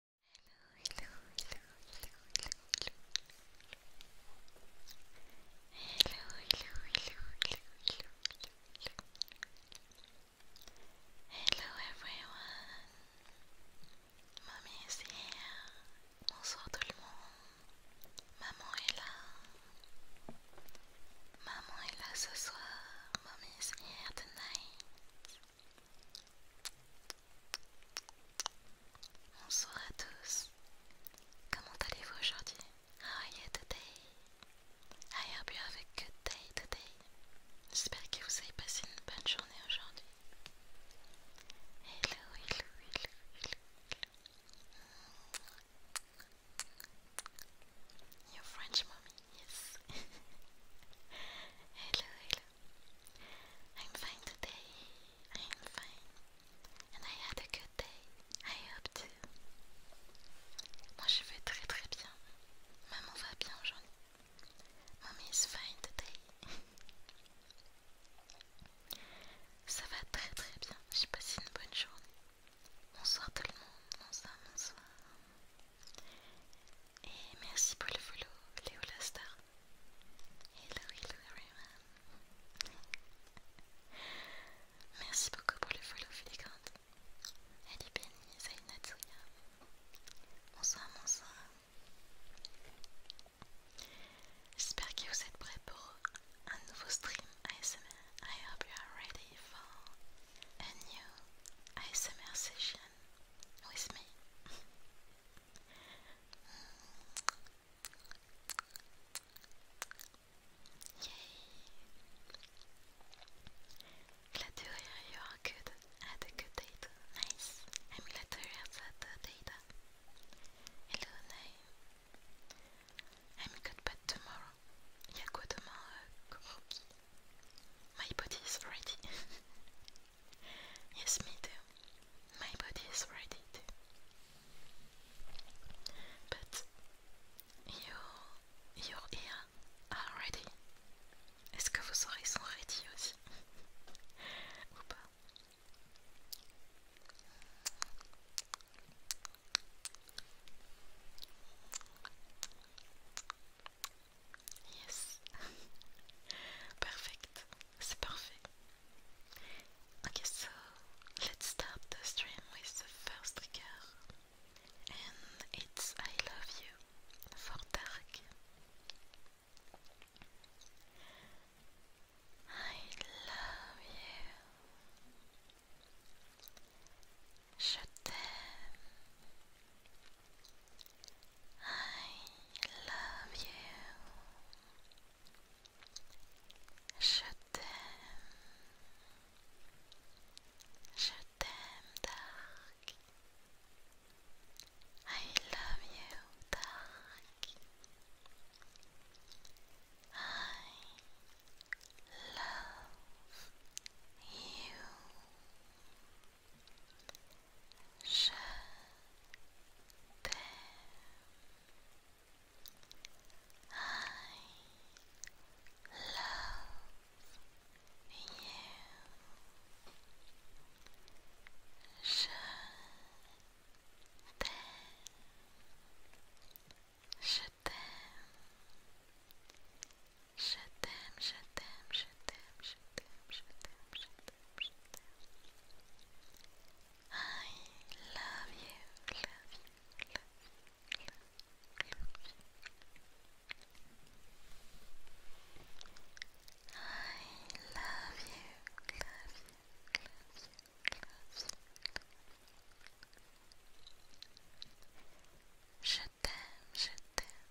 hello everyone Mamie is here Bonsoir tout le monde Maman est là Maman est là ce soir Mommy here tonight Bonsoir à tous. Comment allez-vous aujourd'hui? How are you today? I hope you have a good day today. J'espère que vous avez passé une bonne journée aujourd'hui. Hello, hello, hello, hello, hello. Your French mommy, yes. hello, hello. I'm fine today. I'm fine. And I had a good day. I hope too. Moi je vais très très bien. Maman va bien aujourd'hui. Mommy est fine today. Ça va très très bien. J'ai passé une bonne journée. Bonsoir tout le monde. Bonsoir, bonsoir. Et merci pour le follow, Léo Star. Hello, hello everyone. Merci beaucoup pour le follow, Filigante. Ali Bonsoir, bonsoir. J'espère que vous êtes prêts pour un nouveau stream ASMR. I hope you are ready for a new ASMR session with me. Flatterer you're good at a good data. Nice. I'm flattered at the data. Hello, name. I'm good but tomorrow. Y'a quoi demain, euh, My body is ready. Yes, me too. My body is ready too. But you, your ear are ready. Est-ce que vos oreilles sont ready aussi Ou pas Yes. Perfect. C'est parfait. Okay, so let's start the stream with the first trigger. And it's I love you for Dark. I love you. Je t'aime. I love you. Je t'aime. Je t'aime, Dark. I love you, Dark. I love you. Je t'aime. I love you. Je t'aime. Je t'aime. Je t'aime, je t'aime, je t'aime, je t'aime, je t'aime, je t'aime, je t'aime. I love you, love you, love you, love you, love you. Je t'aime, je t'aime,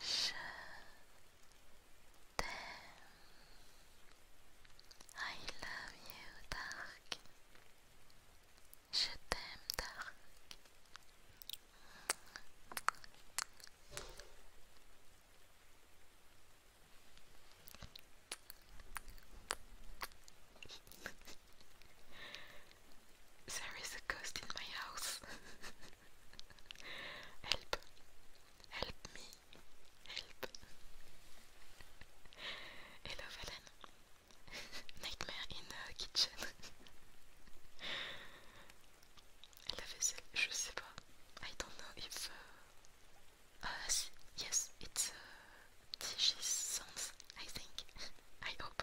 Je t'aime. I love you, Dark. Je t'aime, Dark. There is a ghost in my house. help. Help me. Help. Hello, Valen. Nightmare in the kitchen. La vaisselle, je sais pas. I don't know if. Uh, uh, yes, it's uh, I think. I hope.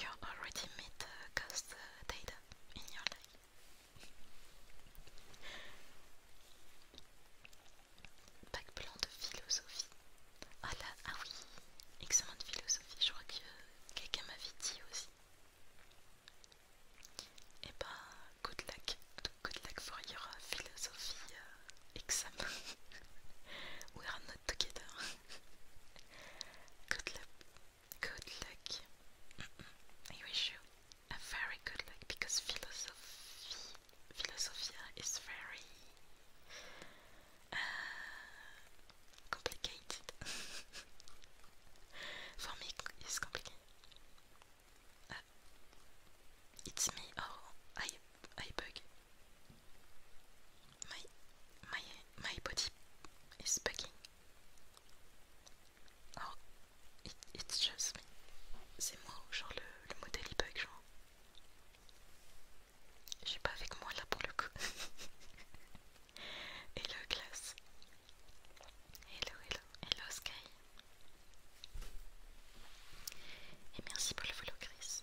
you already déjà uh, ghost uh, data in your life. Bac plan de philosophie. Ah là, ah oui, examen de philosophie, je crois que quelqu'un m'avait dit aussi. Eh bah, good luck, good luck for your uh, philosophy uh, exam. We are not together. good luck, good luck. I wish you a very good luck because philosophy, philosophia is very uh, complicated. For me, it's complicated. Uh, it's me. Oh, I I bug. My, my, my body is bugging. Oh, it's just C'est moi, genre le, modèle il bug, genre. Je suis pas avec moi là pour le coup. hello, classe. Hello, hello, hello, Sky. Et merci pour le follow, Chris.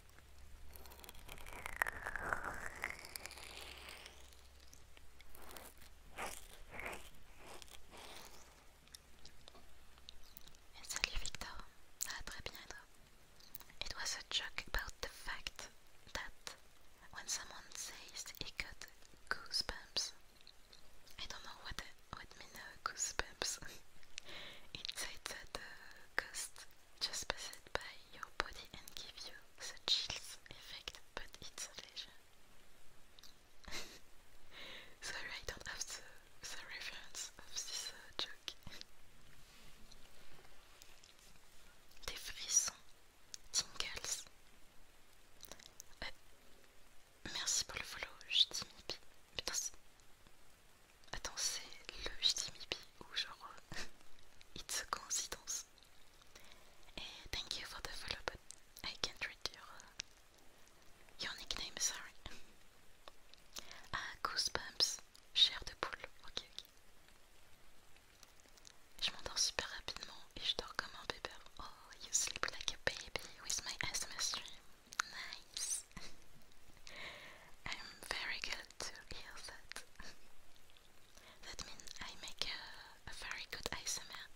Eh, salut Victor, ah, très bien. It was a joke about the fact that when someone says he got goosebumps, I don't know what would mean uh, goosebumps. it said that uh, just pass it by your body and give you the chills effect, but it's a leisure. Sorry, I don't have the, reference of this uh, joke. Des frissons, tingles. Euh, merci pour le follow, je dis Putain, Attends, c'est le Jimmy ou genre euh, It's a coincidence. Eh, thank you for the follow, but I can't read your, uh, your nickname, sorry. Ah, Goosebumps, chair de poule, ok, ok. Je m'endors super rapidement et je dors comme un bébé. Oh, you sleep like a baby with my asthma stream. Nice. I'm very good to hear that. that means I make a, very good ASMR.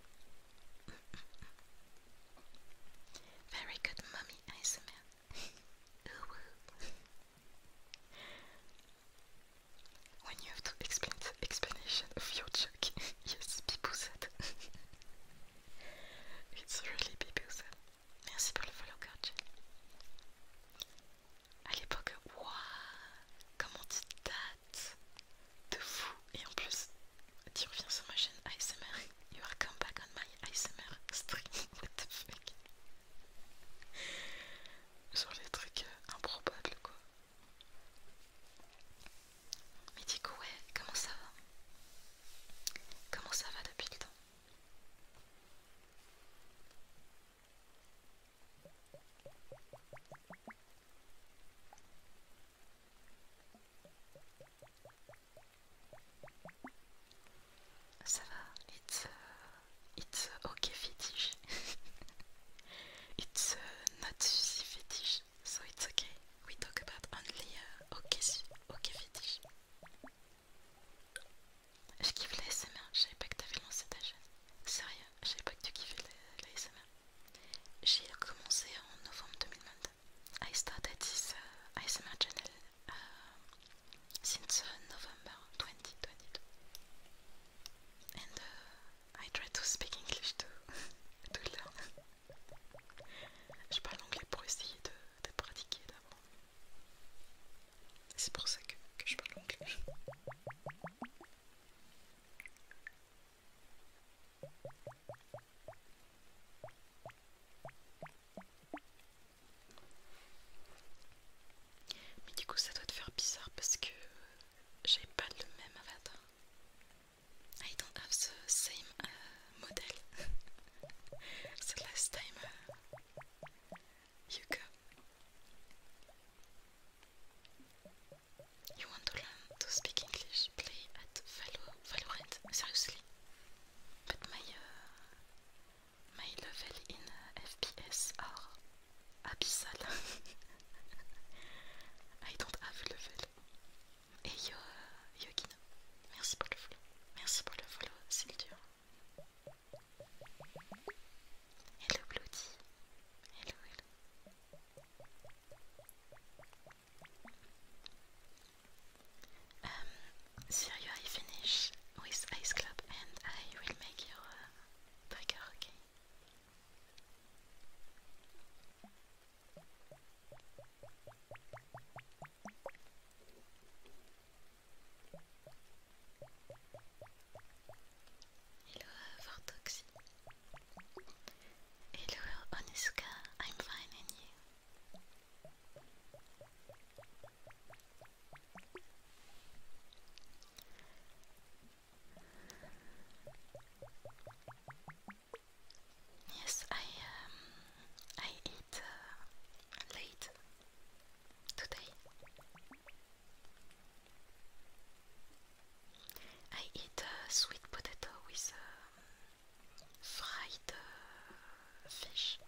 very good mommy ASMR. when you have to explain explanation of your joke, yes, people said. it's really people said. Merci pour le follow coach. À l'époque, waouh, comment tu dates de fou et en plus tu reviens sur ma chaîne ASMR. You are come back on my ASMR stream. What the fuck? Sur les trucs euh, improbables quoi. Mais du coup ouais, comment ça va Comment ça va depuis le temps it's, uh, it's uh, okay fetish. it's uh, not fetish, so it's okay. We talk about only uh, okay, okay fetish. Je kiffe les SMR, je savais pas que t'avais lancé ta chaîne. Sérieux, je savais pas que tu kiffais les la J'ai commencé en novembre 2022. I started this uh, ASMR channel uh, since euh, November 2022. And euh, I try to speak English to, to learn. je parle anglais pour essayer de d'être pratiqué d'avant. C'est pour ça que, je parle anglais. Mais du coup ça doit te faire bizarre parce que j'ai pas le même avatar. I don't have the same euh, model. the last time euh, You go. You want to learn to speak English? Play at Valo Valorant. Seriously. But my uh, my level in uh, FPS are abyssal. I don't have level. Et uh, Yogina, merci pour le follow. Merci pour le follow, Sildur. Hello Bloody. Hello, hello. Um, Sir, you I finish with Ice Club and I will make your trigger, uh, okay? Hello, Vortoxy. Hello, Onizuka. I'm fine, and you? Yes, I um I eat uh, late today. I eat uh, sweet potato with um, fried uh, fish.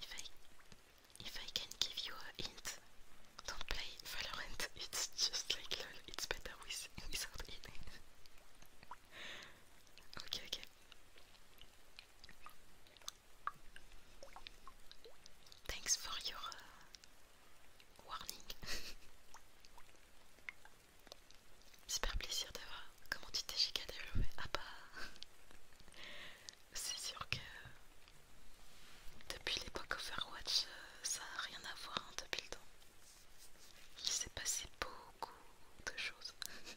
If I, if I can give you a hint, don't play Valorant. It's just like lol. It's better with without it. okay, okay. Thanks for your uh, warning. Super plaisir d'avoir. Comment tu t'es le développé Ah bah c'est sûr que depuis l'époque Overwatch, euh, ça n'a rien à voir hein, depuis le temps. Il s'est passé beaucoup de choses.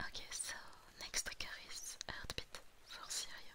Ok, so next est Heartbeat for Syria.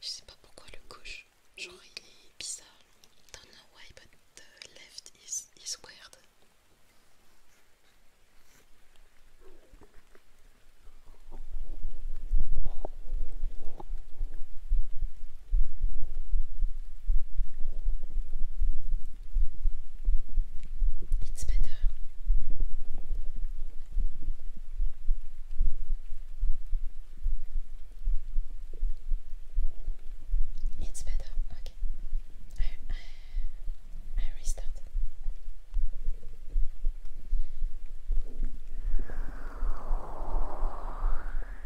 Je sais pas pourquoi le gauche, genre il est bizarre. Don't know why, but the uh, left is, is weird. It's better. It's better. Okay. I I, restart.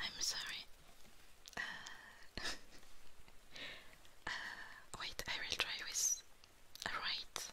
I'm sorry. Uh, uh, wait, I will try with right.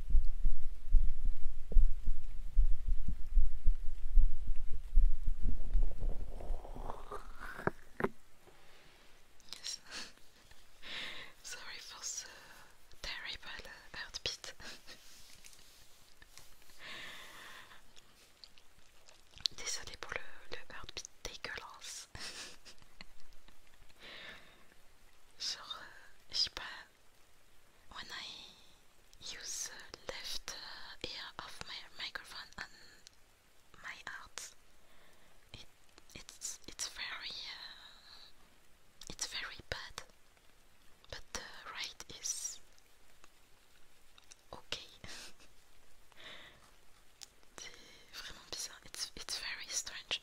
Yes. Sorry for the terrible heartbeat. Désolée pour le, le heartbeat dégueulasse. Genre, euh, sais pas when I use the uh, left uh, ear of my microphone and my art, it, it's it's very uh, it's very bad, but the right is okay. It's it's very strange.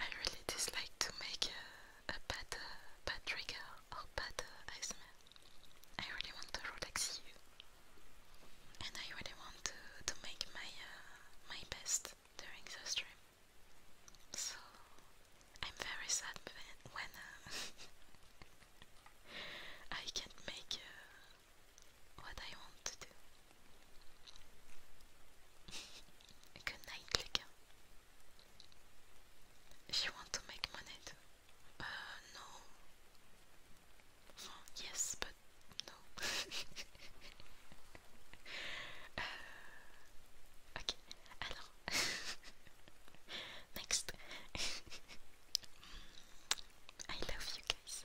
I really dislike to make a, a bad, uh, bad trigger or bad uh, ASMR. I really want to relax you, and I really want to, to make my uh, my best during the stream. So I'm very sad when uh, I can't make uh, what I want to do. Good night, les You want to make money Uh, no. yes, but no. Euh, ok, Next. I love you guys.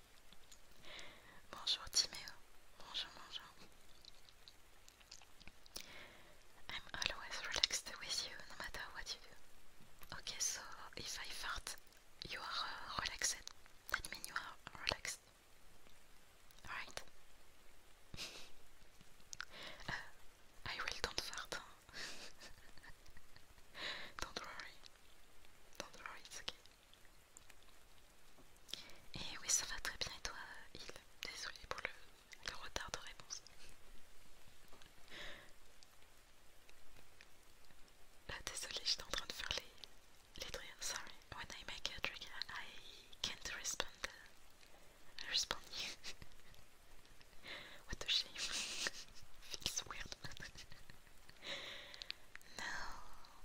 Bonjour Timéo. Bonjour, bonjour. I'm always relaxed with you, no matter what you do. Okay, so if I fart, you are uh, relaxed. That means you are relaxed. Alright? Uh, I will don't fart. don't worry. Don't worry, it's okay. Et oui, ça va très bien. Et toi, Il Désolée pour le, retard de réponse. Là, désolée, j'étais en train de faire les, les triggers. Sorry, when I make a trigger, I can't respond. I uh, respond you. What a shame. Feels weird. no.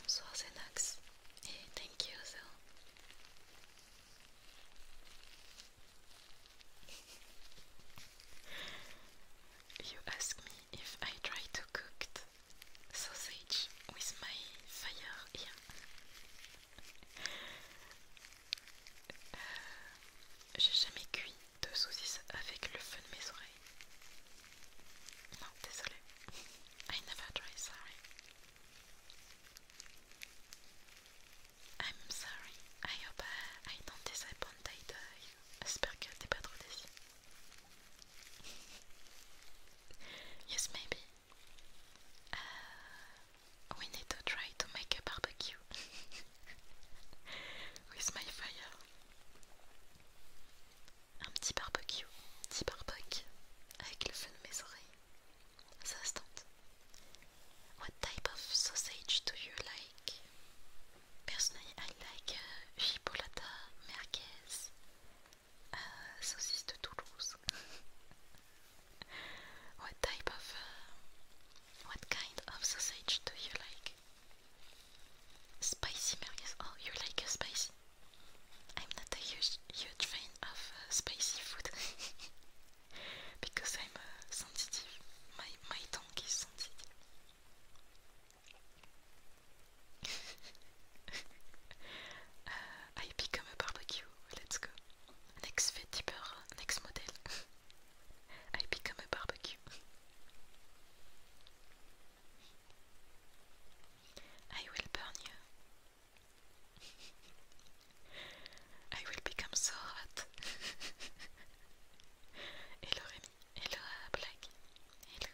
Bonsoir Xenox et thank you so. you ask me if I try to cook sausage with my fire here. je euh, J'ai jamais cuit de saucisse avec le feu de mes oreilles. Non, désolé. I never try, sorry. I'm sorry. I hope uh, I, don't disappoint you. J'espère que t'es pas trop déçu. yes, maybe. Uh, we need to try to make a barbecue with my fire. un petit barbecue, petit barbecue avec le feu de mes oreilles. Ça se tente. What type of sausage do you like? Personally, I like uh, chipolata, merguez, euh, saucisse de Toulouse. what type of, euh, what kind of sausage do you like? Spicy merguez. Oh, you like spicy? I'm not a huge, huge fan of uh, spicy food because I'm uh, sensitive. My my tongue is sensitive. Uh, I become a barbecue. Let's go. Next fit deeper. Next model. I become a barbecue. I will burn you. I will become so hot. hello Rémi, hello à hello hello.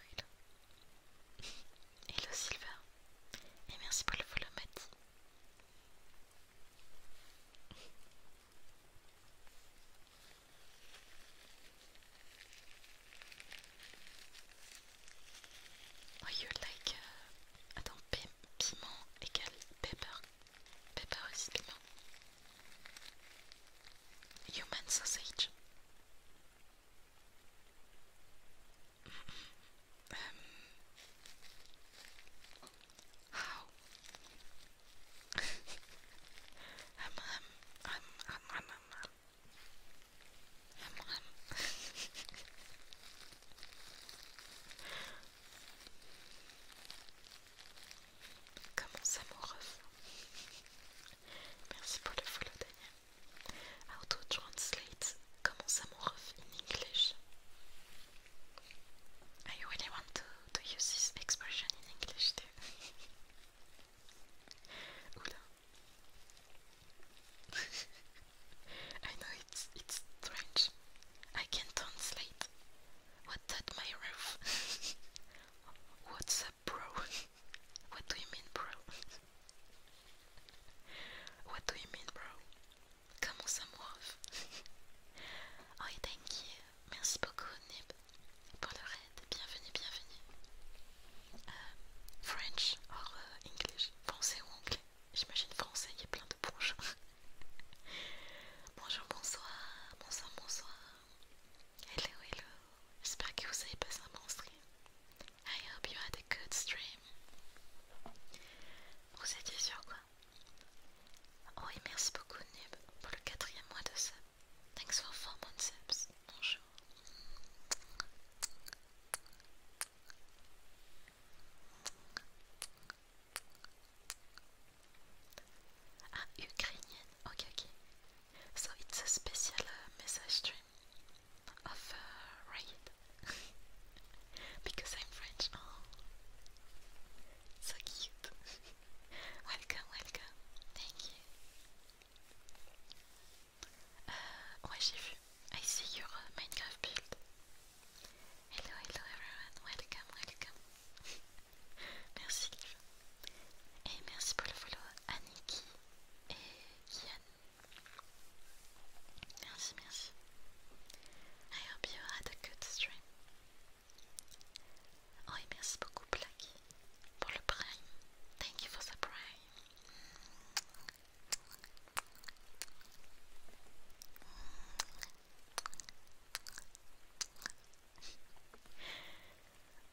hello Silva, et merci pour follow Mati. Oh, you like uh, attends pi piment égale pepper, pepper is piment. Human sausage. Um, how? Um, um, Come on. Comme ça How to translate Comment ça in English? I really want to, to use this expression in English too. Oula, I know it's it's strange. I can translate. What that my roof? What's up, bro? what do you mean, bro? what do you mean, bro? Comment ça m'ouvre? oh, thank you. Merci beaucoup, Nib, pour le raid. Bienvenue, bienvenue. Uh, French or uh, English? Pensez français ou anglais. J'imagine français, il y a plein de bonjour. bonjour, bonsoir, bonsoir, bonsoir. Hello, hello. J'espère que vous avez passé un bon stream. I hope you had a good stream. Vous étiez sur quoi Oh merci beaucoup Nib pour le quatrième mois de sub. Thanks for four months subs. Bonjour. Ah, Ukrainian. Okay, okay. So it's a special uh, message stream of uh, because I'm French. Oh. so cute. welcome, welcome. Thank you. Euh, ouais, j'ai vu. I see your euh, Minecraft build. Hello, hello everyone. Welcome, welcome. merci, Liv. Et merci pour le follow, Aniki et Yann Merci, merci. I hope you had a good stream. Oh, et merci beaucoup, Blacky, pour le prime. Thank you for the prime.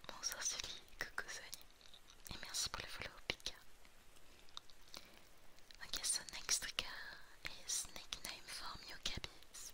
Bonsoir Sully, coucou Soli, et merci pour le follow Pika. Okay, so next trigger is nickname for your Mewcabies.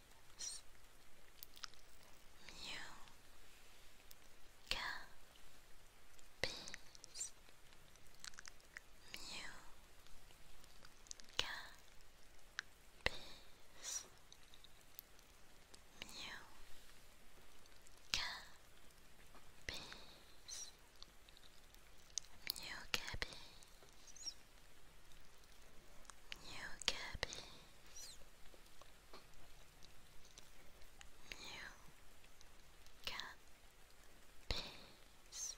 new copies, new copies, new copies, new copies. New cabbies, you can peace.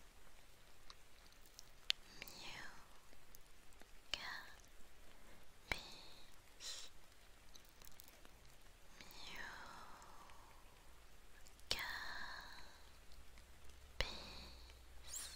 You can peace. You can peace.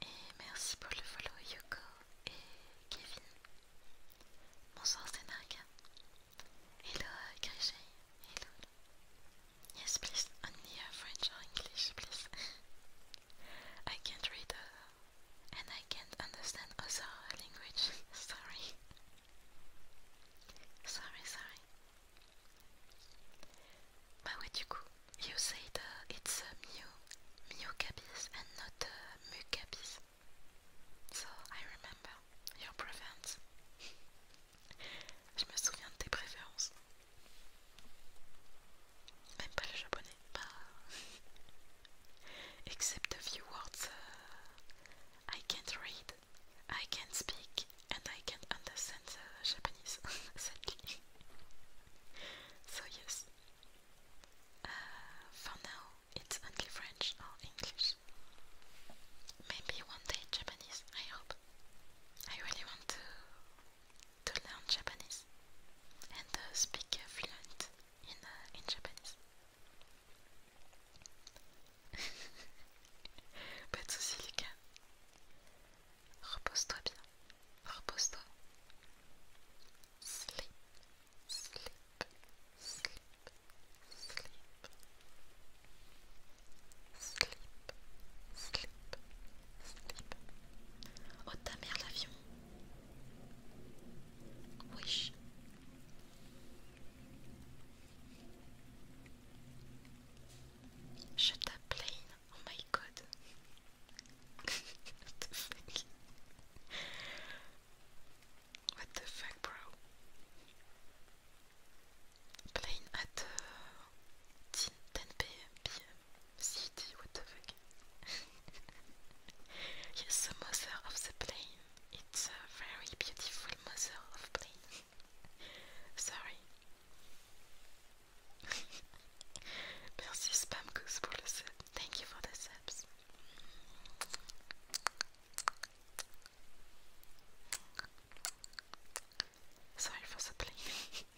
Et merci pour le follow Yoko et Kevin. Bonsoir Senarga. Hello Grishay. Hello. Yes please, only French or English please. I can't read uh, and I can't understand other language. sorry. sorry, sorry. Bah ouais du coup, you say the, it's a Mew, capis and not a Mucabis. So I remember your preference. Je me souviens de tes préférences. Même pas le japonais, Except a few words uh, I can't read, I can't speak, and I can understand the Japanese, sadly. so yes, uh, for now it's only French or English. Maybe one day Japanese, I hope. I really want to to learn Japanese and uh, speak fluent in uh, in Japanese. Pas de soucis les Repose-toi bien. Repose-toi. Sleep, sleep, sleep, sleep. Sleep, sleep, sleep. Oh ta mère l'avion. Wish. Je t'appelle. Oh my god. what the fuck? What the fuck, bro? Playing at uh, 10 pm, pm, CT, what the fuck? yes, the mother of the plane. It's a very beautiful mother of plane. Sorry. Merci Spam Goose pour le sub. Thank you for the subs. Sorry for supplying.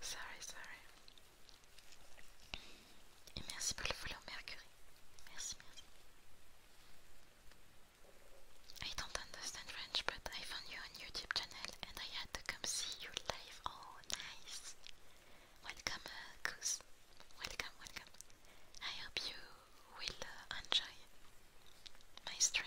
sorry, sorry. Et merci pour le follow Mercury. Merci, merci. I don't understand French, but I found you on YouTube channel and I had to come see you live. Oh, nice! Welcome, uh, Goose. Welcome, welcome. I hope you will uh, enjoy my stream.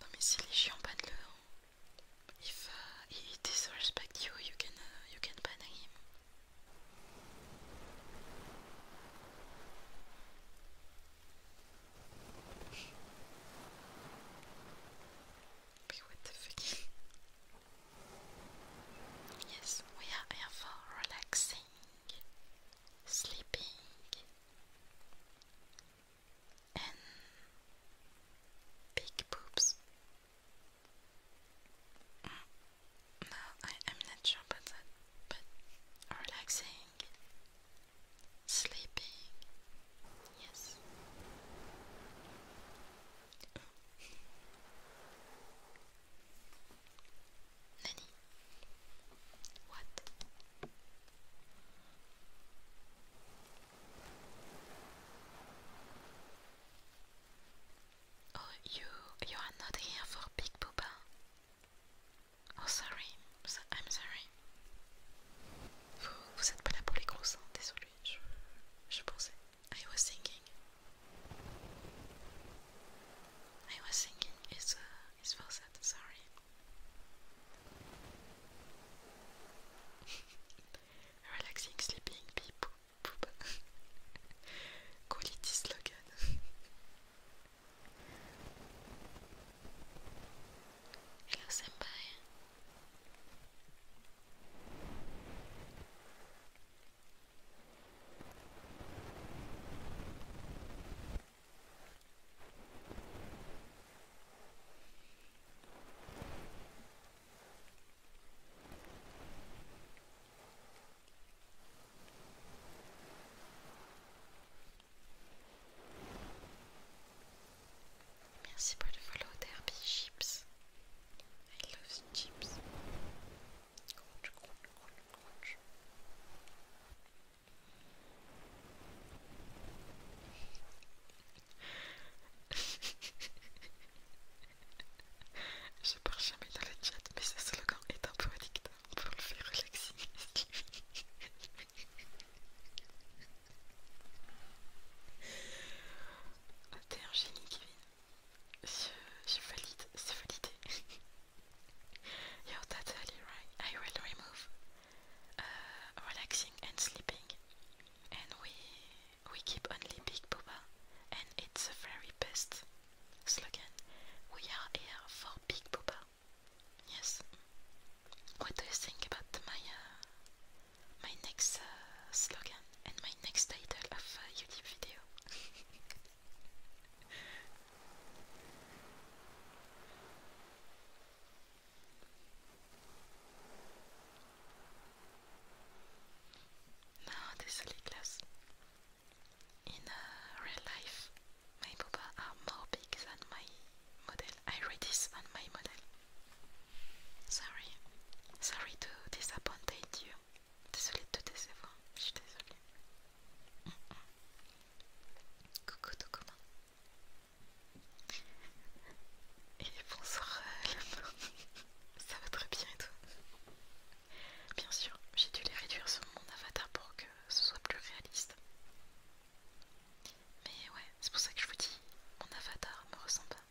No, mais c'est les chiens ban If uh, he disrespect you, you can uh, you can ban him. Yes, we are here for relaxing, sleeping, and big boobs. Mm, no, I, am not sure about that, but relaxing, sleeping, yes. What? Oh, you you are not here for Big Booba. Oh, sorry. I'm sorry. Vous, vous êtes pas là pour les gros seins, désolé. Je, je pensais. I was thinking. I was thinking it's, uh, it's for sorry. Relaxing sleeping pee poop poop. Quality slogan. Hello senpai. Merci pour le follow derby chips. I love chips. Je parle jamais dans le chat, mais ce slogan est un peu addictant pour le faire relaxer. T'es un génie, Kevin. Je, je valide, c'est validé. Yo, that's right? I will remove Uh, relaxing and sleeping. And we we keep only Big Boba, and it's the very best slogan. We are here for Big Boba. Yes. What do you think about my uh, my next uh, slogan and my next title of YouTube video? Now, désolé Klaus. In uh, real life, my boobas are more big than my model. I read on my model. Sorry. Sorry to disappoint you. Désolé de te décevoir. Et bonsoir Ça va très bien et tout Bien sûr, j'ai dû les réduire sur mon avatar pour que ce soit plus réaliste. Mais ouais, c'est pour ça que je vous dis, mon avatar me ressemble pas.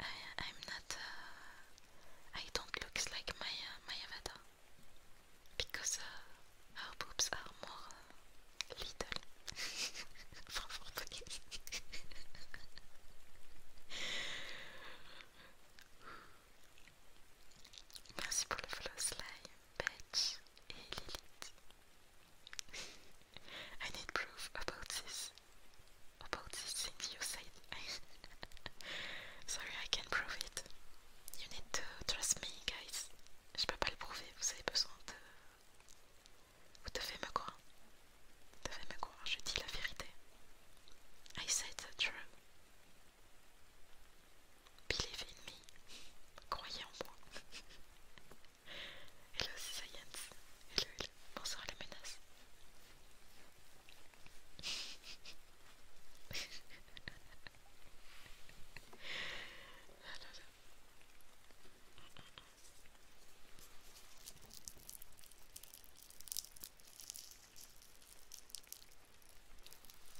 I, I'm not. Uh, I don't look like my, uh, my avatar. because uh, our oh, boobs are more uh, little from Portuguese. Merci pour le Lilith. I need proof about this. About this thing you said. Sorry, I can't prove it. You need to trust me, guys. Je peux pas le prouver, vous avez besoin de. Vous devez me croire. Vous devez me croire, je dis la vérité. I said the truth. Believe in me. Croyez en moi. hello, science. Hello, hello. Bonsoir, les menaces.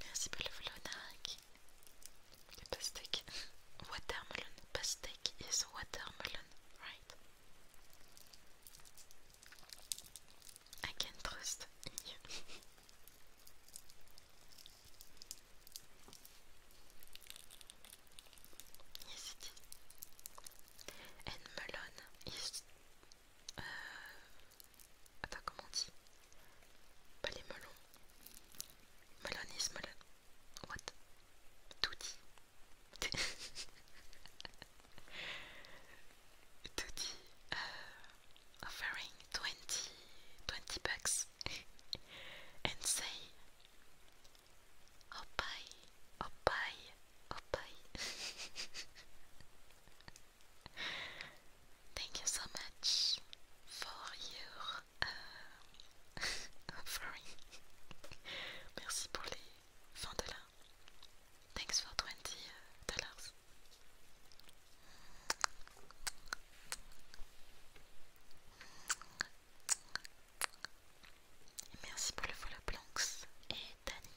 Merci Belvlonarik. The pastèque. Watermelon. Pastèque is watermelon, right? I can trust you. Yes is And melon is... Euh, attends, comment on dit Pas les melons. Melon is melon. What Tout dit. Tout euh, offering 20, 20 bucks. and say Opai, Opai, Opai. Thank you so much for your uh, Merci pour les 20 dollars. Thanks for 20 uh, dollars. Merci pour le follow Blancs et Tani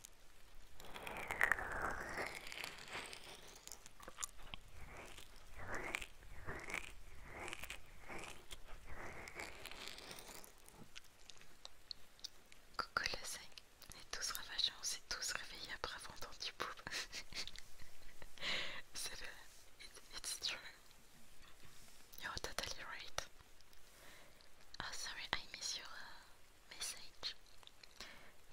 Coucou le 5, on est tous ravagés, on s'est tous réveillés après avoir entendu poop. C'est it's true. You're totally right. Oh, sorry, I miss your, Message.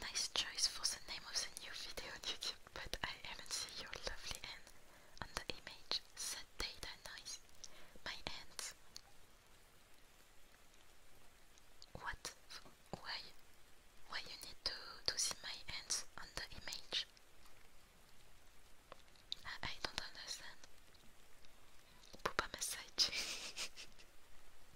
Nice choice for the name of the new video YouTube, but I haven't seen your lovely hand on the image. Set data nice. My hands. What? Why? Why you need to, to see my hands on the image? I, don't understand. Poopa message.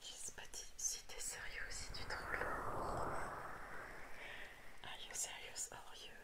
Kiss pas si t'es sérieux, si tu trolles. Are you serious? Are you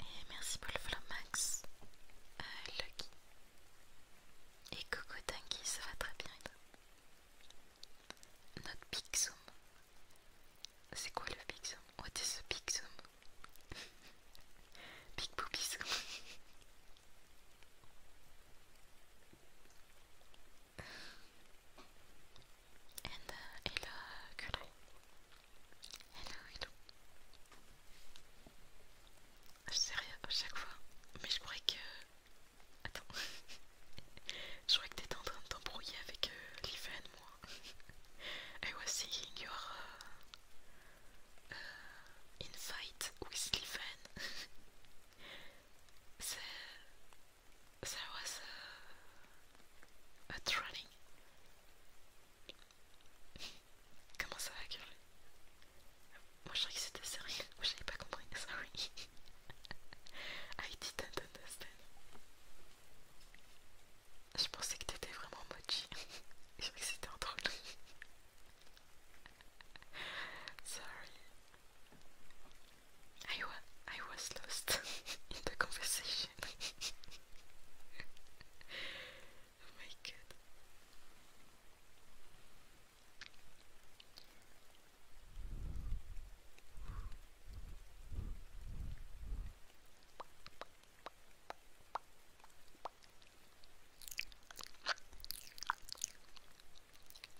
Et merci pour le Flamax, euh, Lucky. Et Coco Tanky, ça va très bien. Notre Big Zoom. C'est quoi le Big Zoom What is the Big Zoom Big boogie. Uh, et... uh, hello Gulay. Hello, hello. Je sais rien à chaque fois, mais je croyais que. Attends. je croyais que t'étais en train de t'embrouiller avec euh, moi. I was seeing your uh, uh, with Livan. C'est ça va a, un trolling. Comment ça va Curly Moi je croyais que c'était sérieux, moi j'avais pas compris, sorry. I didn't understand. Je pensais que t'étais vraiment mochi. je croyais que c'était un drôle sorry, I, wa I was lost in the conversation. oh my god.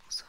Bonsoir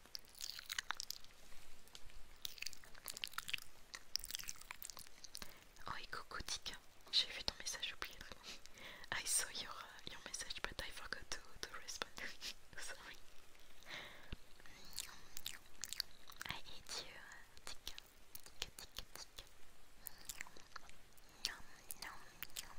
Oh et coucou Tika, j'ai vu ton message oublié. Ah, I saw your, uh, your message but I forgot to, respond. Sorry. I hate you, Tika. Tika, Tika, Tika. Nom, nom, nom.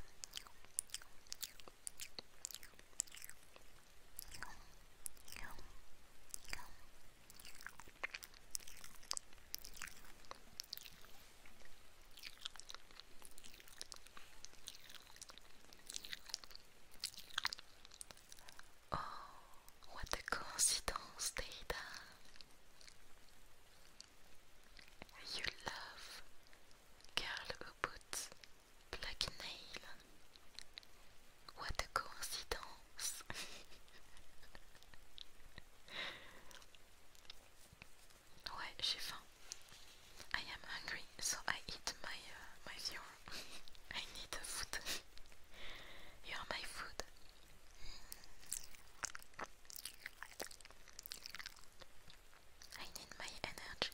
Oh, what a coincidence, Data! You love Girl who Black Nail. What a coincidence! ouais, I am hungry, so I eat my uh, my viewer. I need food. you are my food. I need my energy.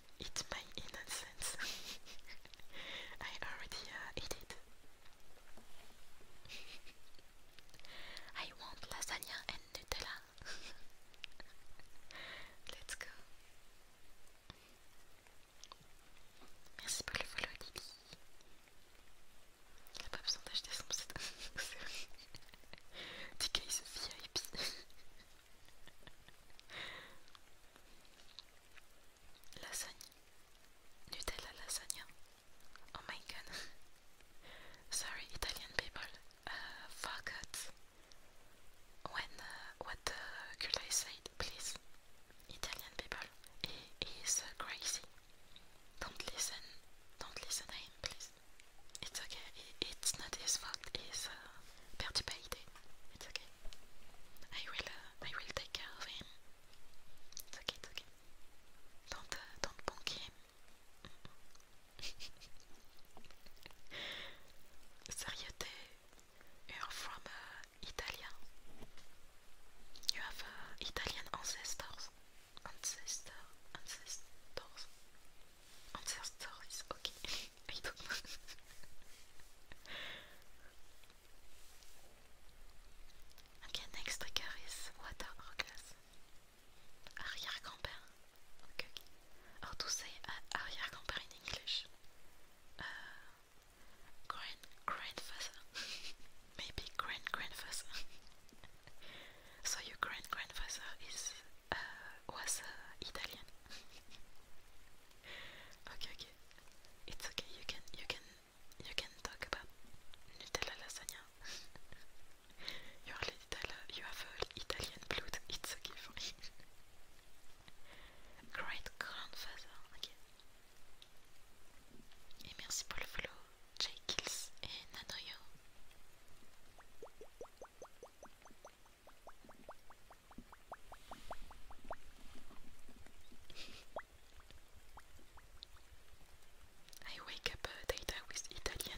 It's my innocence. I already uh, ate it. I want lasagna and Nutella. Let's go. Merci pour le follow, Lily. Il n'y a pas besoin d'acheter son site. TK is VIP. Lasagne. Nutella lasagna. Oh my god. Sorry, Italian people. Uh, forgot when uh, what the uh, girl said. Please, Italian people, he is crazy. Don't listen. Don't listen to him, please. It's okay. It's not his fault. He's uh, perturbated. It's okay. I will, uh, I will take care of him. It's okay, it's okay. Don't, uh, don't bonk him. Seriete, you're from uh, You have uh, Italian ancestors. Ancestor, ancestors, ancestors. Okay. I do okay, next trigger is water orgasm. Arrière grand-père. say uh, arriere in English? Euh, grand grandfather. Maybe grand grandfather. so your grand grandfather is uh, was uh, Italian okay, okay. It's okay. You can, you can, you can talk about Nutella lasagna. You're little, you have Italian blood. It's okay for me. Great grandfather. Okay. Et merci pour le follow, Jay Kills et Nanoyo. I wake up uh, with Italian.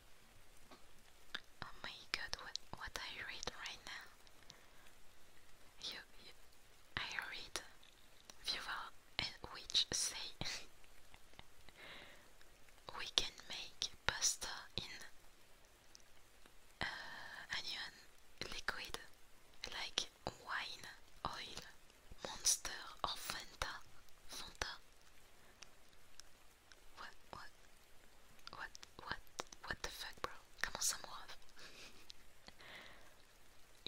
Oh my god, what what I read right now? You, I read viewer which say we can make pasta in uh, onion liquid like wine, oil, monster or Fanta. Fanta. What, what, what, what, what the fuck, bro? Comment ça me rêve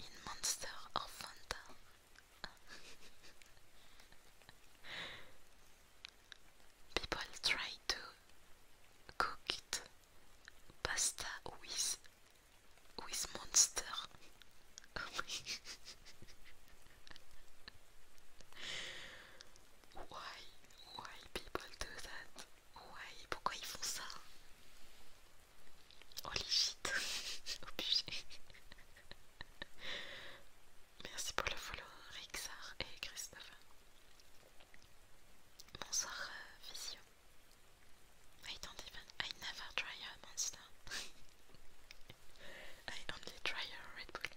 Une monster enfantile. People try to cook it pasta with with monster. Oh Why? Why people do that? Why? Pourquoi ils font ça? Holy oh, shit! Obligé! Merci pour le follow, Rixar et Christophe. Bonsoir, euh, Visio. I don't even. I never try a monster. I only try a Red Bull.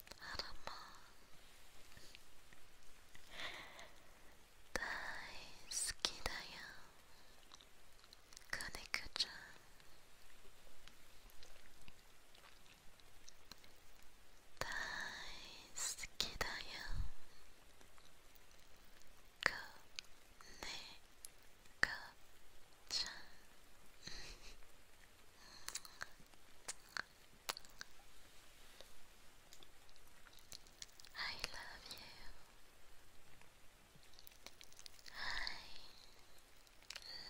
大好きだよ金子ちゃん大好きだよ金子ちゃん I love you. I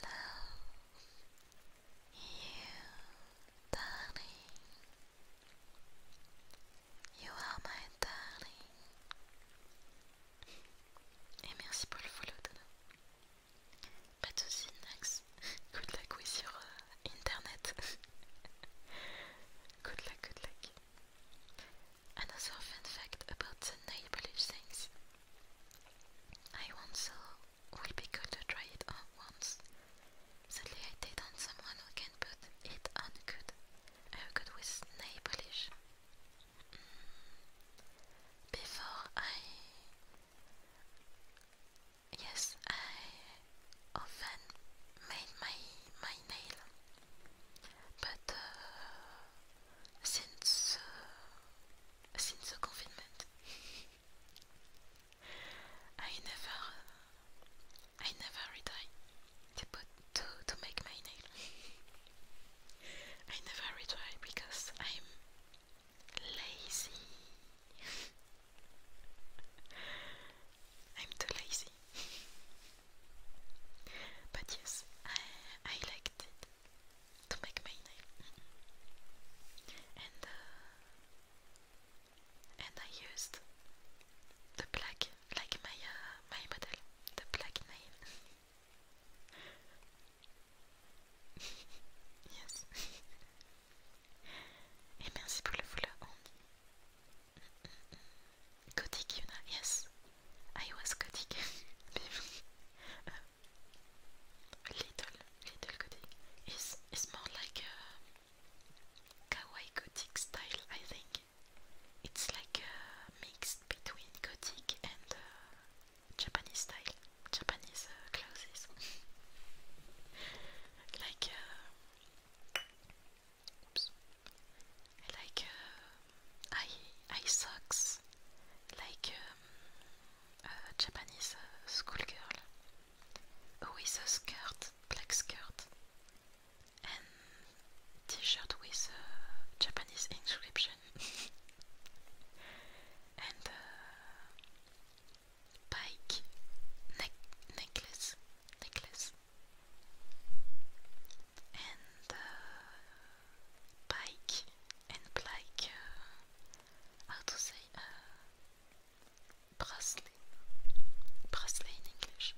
love you, darling. You are my darling. Et merci pour le follow, Pas de soucis, Nax. Good luck with your uh, internet. good luck, good luck. Another fun fact about the nail polish things. I once uh, will be good to try it on once. Sadly, I did on someone who can put it on good. Uh, good with nail polish. Mm. Before I yes, I often made my my nail, but uh, since uh, since the confinement, I never I never retry to put to to make my nail. I never retry because I'm lazy. I'm too lazy. but yes, I, I liked it to make my nail. and uh, and I used the black like my uh, my model, the black nail yes. Et merci pour le follow, Andy. Gothic yes. I was Gothic. uh, little, little Gothic. It's, it's more like a kawaii Gothic style, I think. It's like a mix between Gothic and uh, Japanese style, Japanese uh, clothes. like, uh, like uh, eye, socks, like um, uh, Japanese uh, schoolgirl with a skirt, black skirt, and t-shirt with Japanese inscription. and pike ne necklace, necklace, and uh, and like uh, how to say uh, bracelet, bracelet in English.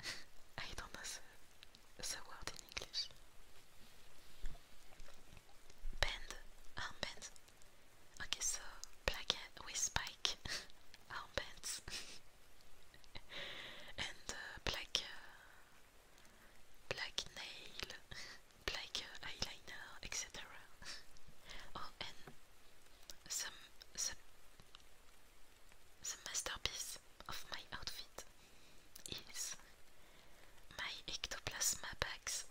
I don't know the, the word in English. Band, armband. Okay, so placket with spike armbands and black, uh, black uh, nail, black uh, eyeliner, etc. oh, and some the, the masterpiece of my outfit is my ectoplasm bags.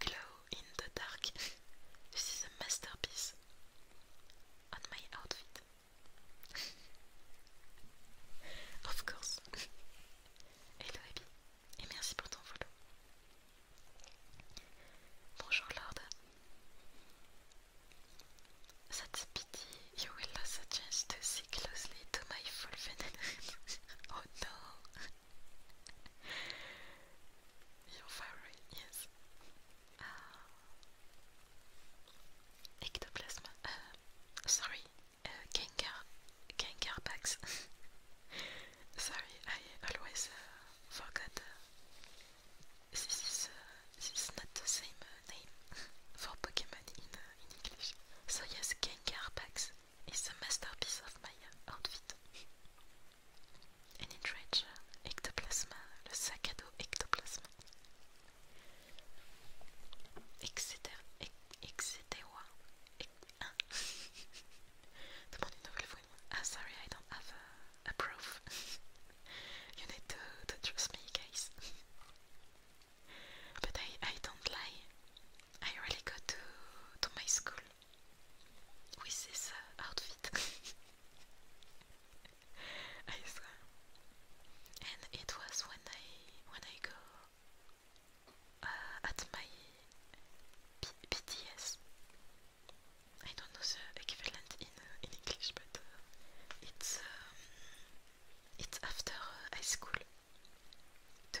glow in the dark. this is a masterpiece on my outfit. of course. Hello Abby, et merci pour ton follow. Bonjour Lord. That's pity you will lose a chance to see closely to my full funnel. oh no! Your favorite is uh, ectoplasma. Uh, sorry, Gengar, uh, Gengar sorry, I always uh, uh this is this is not the same name for Pokemon in English. So yes, Gengar it's a masterpiece of my outfit. An intrage ectoplasma, le sac à Etc. Etc. Demande une nouvelle ah, sorry, I don't have a, proof. you need to trust me, guys. but I, I don't lie. I really go to, to my school with this uh, outfit. And it was when I when I go uh, at my P I don't know the equivalent in in English, but uh, it's um, it's after high school two,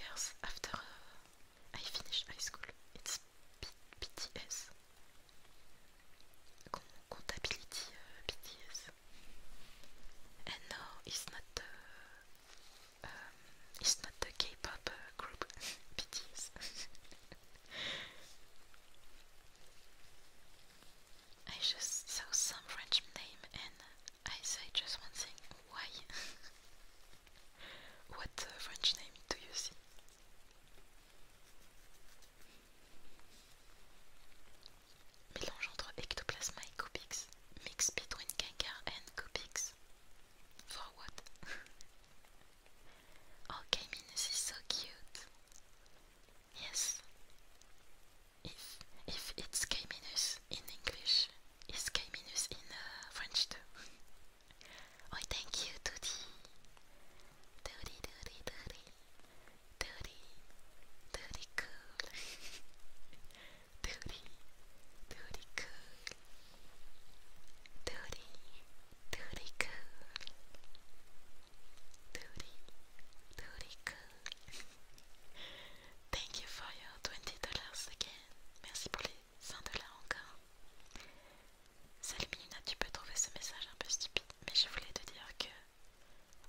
years after uh, I finished high school. It's B BTS. Contability BTS. Uh, no, it's not uh, um, it's not the pop group BTS. I just saw some French name and I say just one thing. Why? what uh, French name do you see? Mélange entre ectoplasma et cubix. Mix between Gengar and cubix. For what? oh, Minus is so cute. Yes. If if it's K in English, is K minus in uh, French too. oh, thank you, Tutti. Tutti, Tutti, Tutti, Tutti, Tutti, cool. Tutti, Tutti, cool. Tutti, Thank you for your twenty dollars again. merci pour les 5 dollars encore. Salut tu peux trouver ce message un peu stupide, mais je voulais te dire que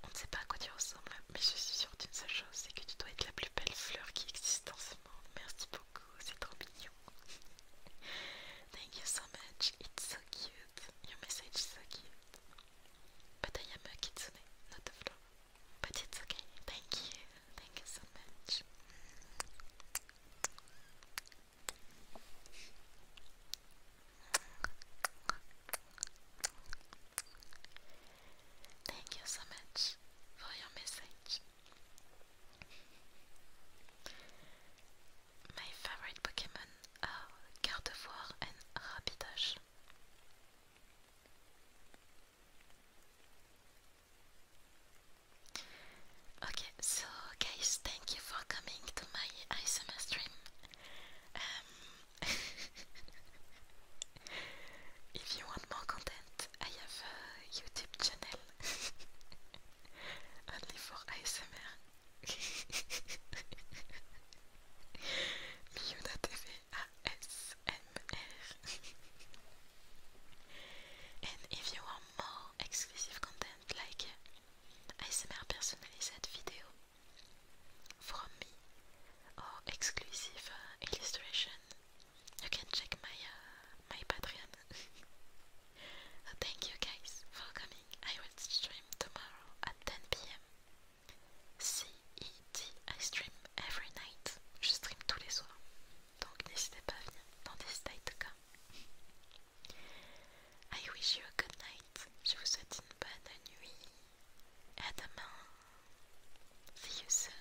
on ne sait pas à quoi tu ressembles, mais je suis sûre d'une seule chose, c'est que tu dois être la plus belle fleur qui existe en ce monde. Merci beaucoup, c'est trop mignon. Thank you so much, it's so cute. Your message is so cute. kitsune, not But it's okay. Thank you. Thank you so much. Thank you so much for your message. My favorite Pokemon are Gardevoir and Rapidash. Okay, so guys, thank you for coming to my ISMR stream. Um, if you want more content, I have a YouTube channel only for ASMR. Miuna TV. ASMR. and if you want more exclusive content like ASMR personalized video from me or exclusive uh, illustration, you can check my uh, my Patreon. Oh, thank you guys for coming. I will stream tomorrow at 10 p.m. See dit I stream every night. Je stream tous les soirs. Donc n'hésitez pas à venir dans des states cas. I wish you a good night. Je vous souhaite une bonne nuit. À demain. See you soon.